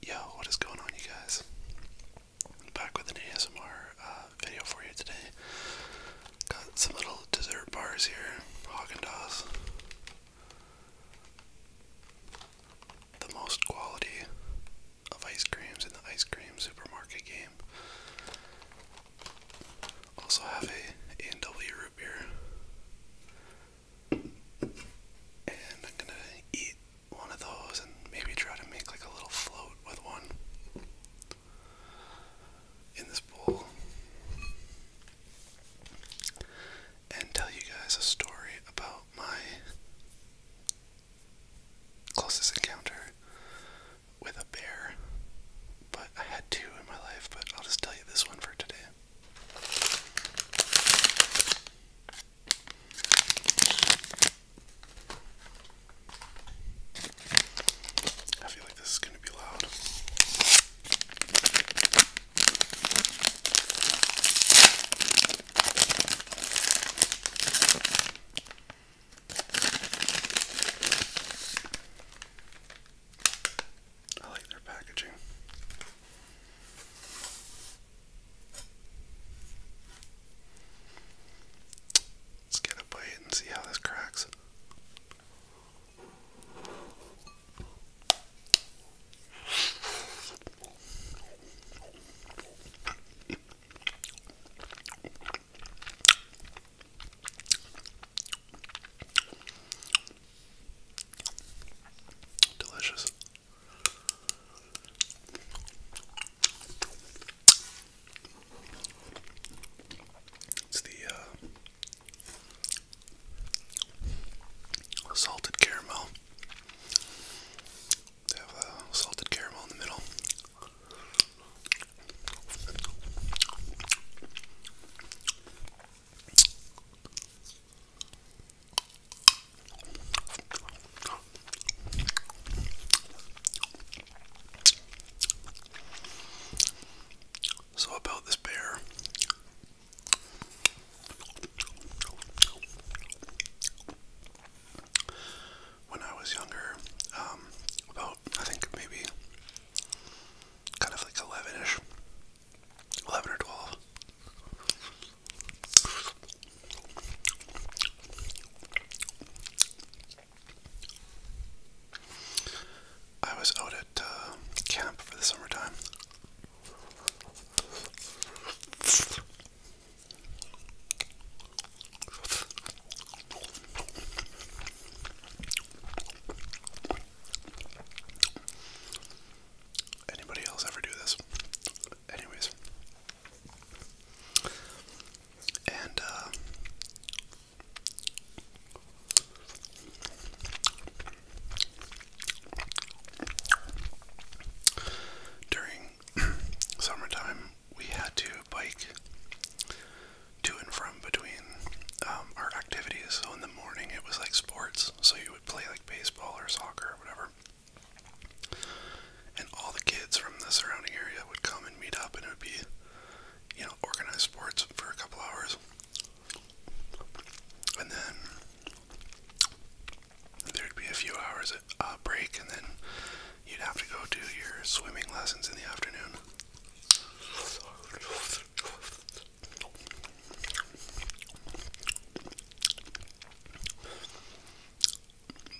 Yo, what is going on, you guys? back with an ASMR uh, video for you today. Got some little dessert bars here, Haagen Dazs. The most quality of ice creams in the ice cream supermarket game. Also have a a and root beer. And I'm gonna eat one of those and maybe try to make like a little float with one in this bowl and tell you guys a story about my closest encounter with a bear. But I had two in my life, but I'll just tell you this one for today. I feel like this is going to be loud. I like their packaging. Let's get a bite and see how this cracks. Delicious. It's the uh, salted caramel. They have uh, salted caramel in the middle. So, about this bear. When I was younger, um, about I think maybe kind of like 11 11 or 12, I was out at uh, camp for the summertime. Anybody else ever do this? Anyways. And, uh, during summertime, we had to bike to and from between um, our activities. So in the morning, it was like sports. So you would play like baseball or soccer or whatever. And all the kids from the surrounding area would come and meet up, and it would be, you know, organized sports for a couple hours. And then there'd be a few hours uh, break, and then you'd have to go do your swimming lessons in the afternoon.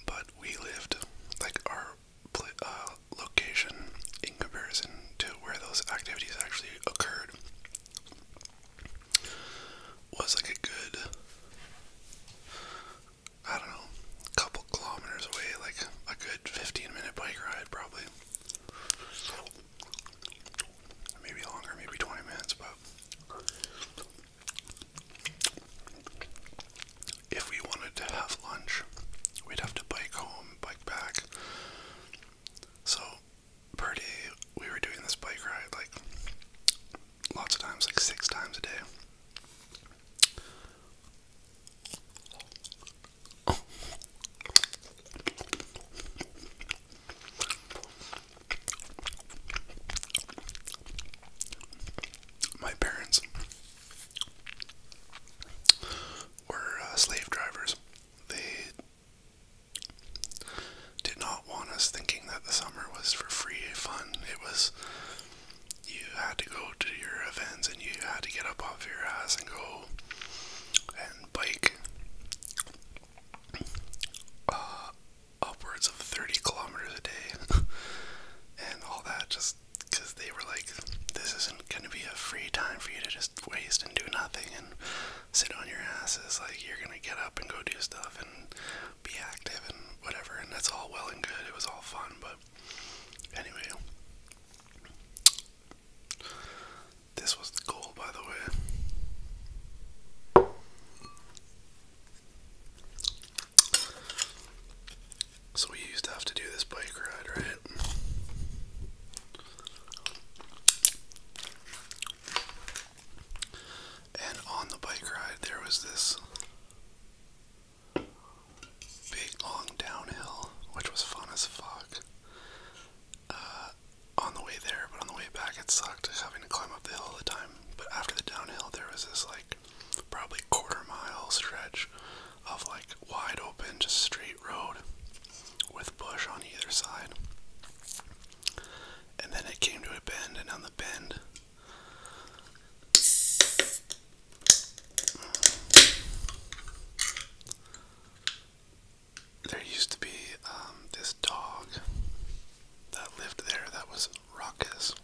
But we lived like our uh, location in comparison to where those activities actually occurred was like a good I don't know couple kilometers away like a good 15 minute bike ride probably maybe longer maybe 20 minutes but if we wanted to have lunch, we'd have to bike home, bike back. So, per day, we were doing this bike ride like lots of times, like six times a day. My parents were uh, slave drivers. They did not want us thinking that the summer was for free fun. It was you had to go to your events and you had to get up off your ass and go and bike uh, upwards of 30 kilometers a day and all that just because they were like, this isn't going to be a free time for you to just waste and do nothing and sit on your asses. Like, you're going to get up and go do stuff and be active and whatever. And that's all well and good. It was all fun. But anyway, this was the goal, by the way. So we used to have to do this bike ride, right? And on the bike ride, there was this big long downhill, which was fun as fuck. Uh, on the way there, but on the way back, it sucked having to climb up the hill all the time. But after the downhill, there was this like probably quarter mile stretch of like wide open, just straight road with bush on either side. And then it came to a bend, and on the bend, there used to be um, this dog that lived there that was ruckus.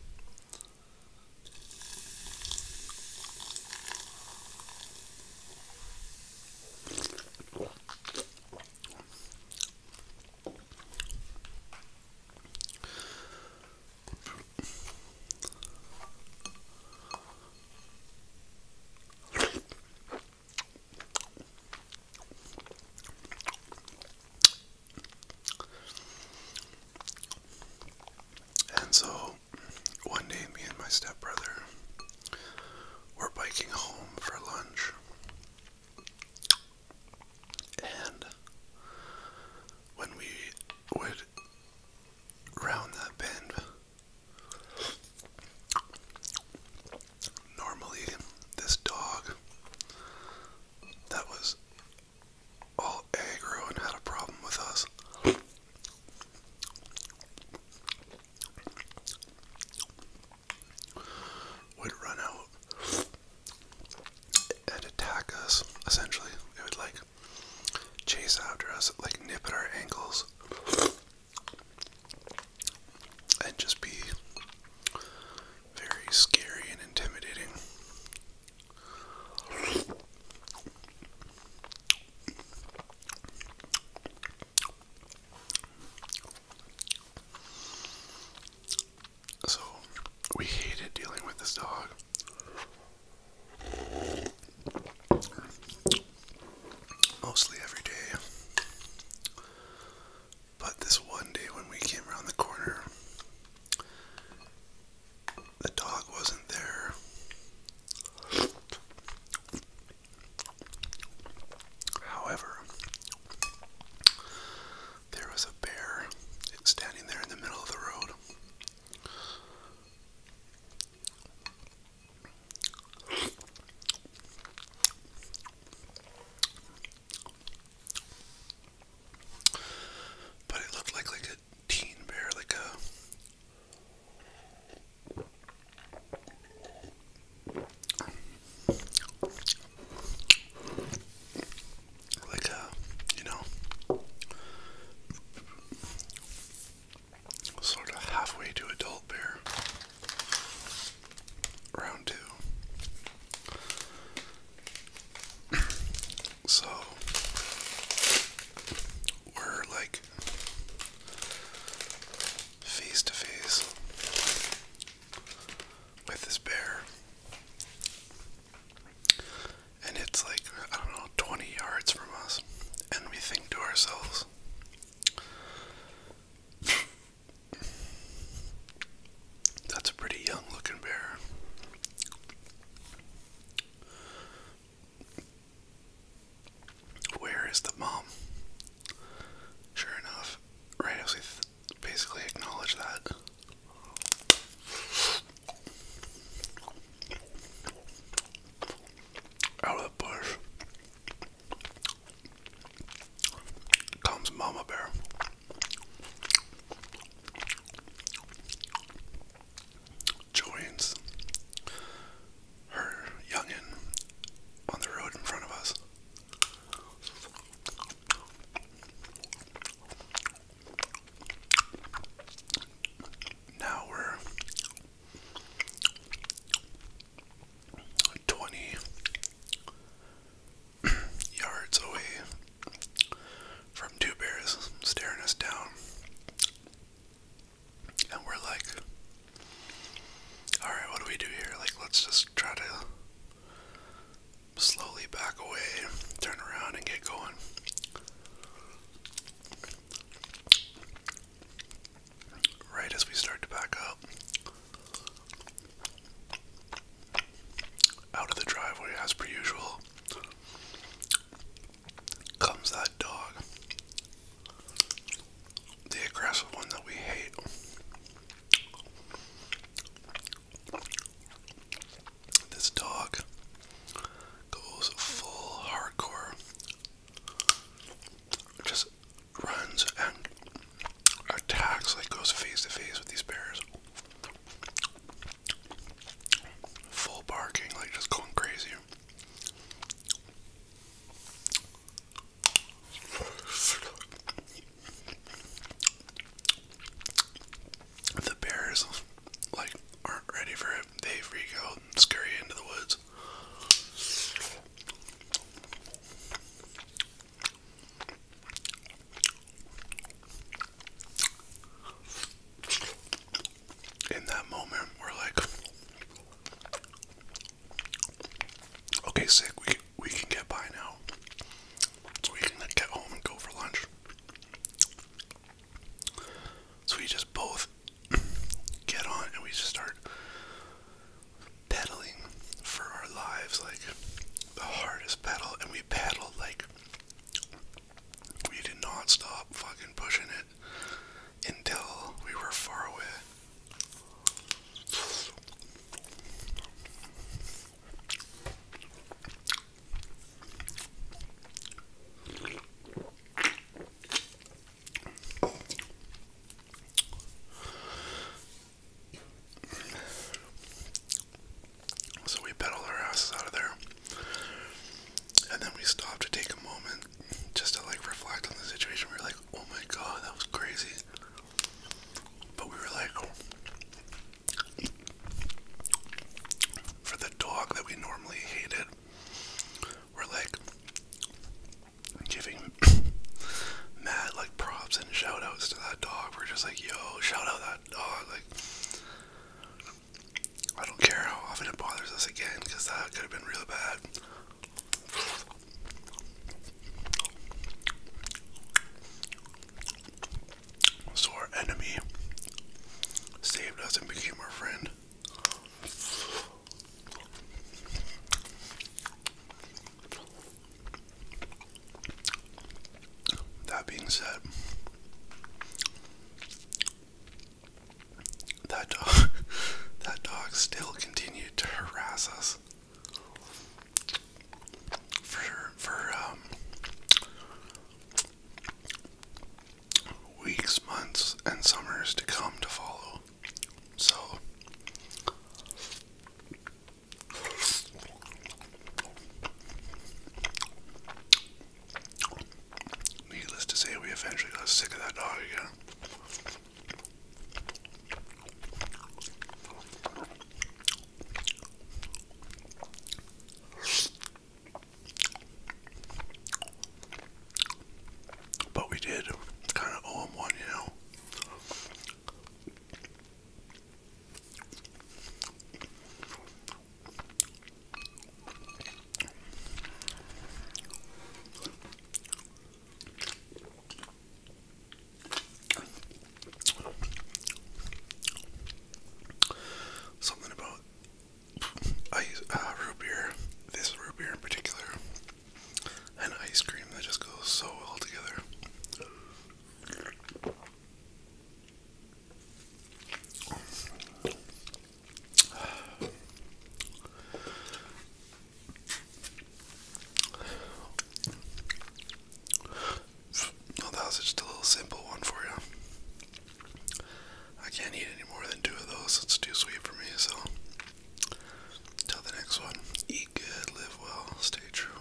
And so one day, me and my stepbrother were biking home for lunch. And when we would round that bend, normally this dog that was all aggro and had a problem with us. Would run out and attack us, essentially. It would like chase after us, like nip at our ankles, and just be very scary and intimidating. So, we hated dealing with this dog. Mostly every day. But this one day when we came around the corner, the dog wasn't there. However, there was a bear standing there in the middle of the road. But it looked like like a teen bear, like a like a you know sort of halfway to adult bear. Round two. So we're like face to face with this bear. And it's like, I don't know, 20 yards from us. And we think to ourselves, that's a pretty young looking bear. Where is the mom? Sure enough, right as we basically acknowledge that. Out of the bush comes Mama Bear joins her youngin on the road in front of us. Now we're 20 yards away from two bears staring us down. And we're like, alright, what do we do here? Like, let's just try to slowly back away, turn around, and get going. Right as we start to back up, out of the driveway, as per usual, comes that dog. The aggressive one that we hate. This dog goes full hardcore, just runs and attacks, like goes face to face with these bears. Full barking, like just going crazy. The bears, like, aren't ready for it. They freak out and scurry into the woods. In that moment, we're like, okay, sick, we, we can get by now. So we can get home and go for lunch. So we just both get on and we just start pedaling for our lives, like the hardest pedal, and we paddled like we did not stop fucking pushing it until we were far away. So we pedaled our asses out of there. And then we stopped to take a moment just to like reflect on the situation. We are like, oh my god, that was crazy. But we were like, for the dog that we normally hated, we're like giving mad like props and shout outs to that dog. We're just like, yo, shout out that Oh, I don't care how often it bothers us again, because that could have been really bad. So our enemy saved us and became our friend. That being said, that dog, that dog still continued to harass us for for um, weeks, months, and summers to come to follow. So Needless to say, we eventually got sick of that dog again. But we did kind of owe him one, you know. Something about ice, uh, root beer, this root beer in particular, and ice cream that just goes so well together that was just a little simple one for you. I can't eat any more than two of those, it's too sweet for me, so. Till the next one, eat good, live well, stay true.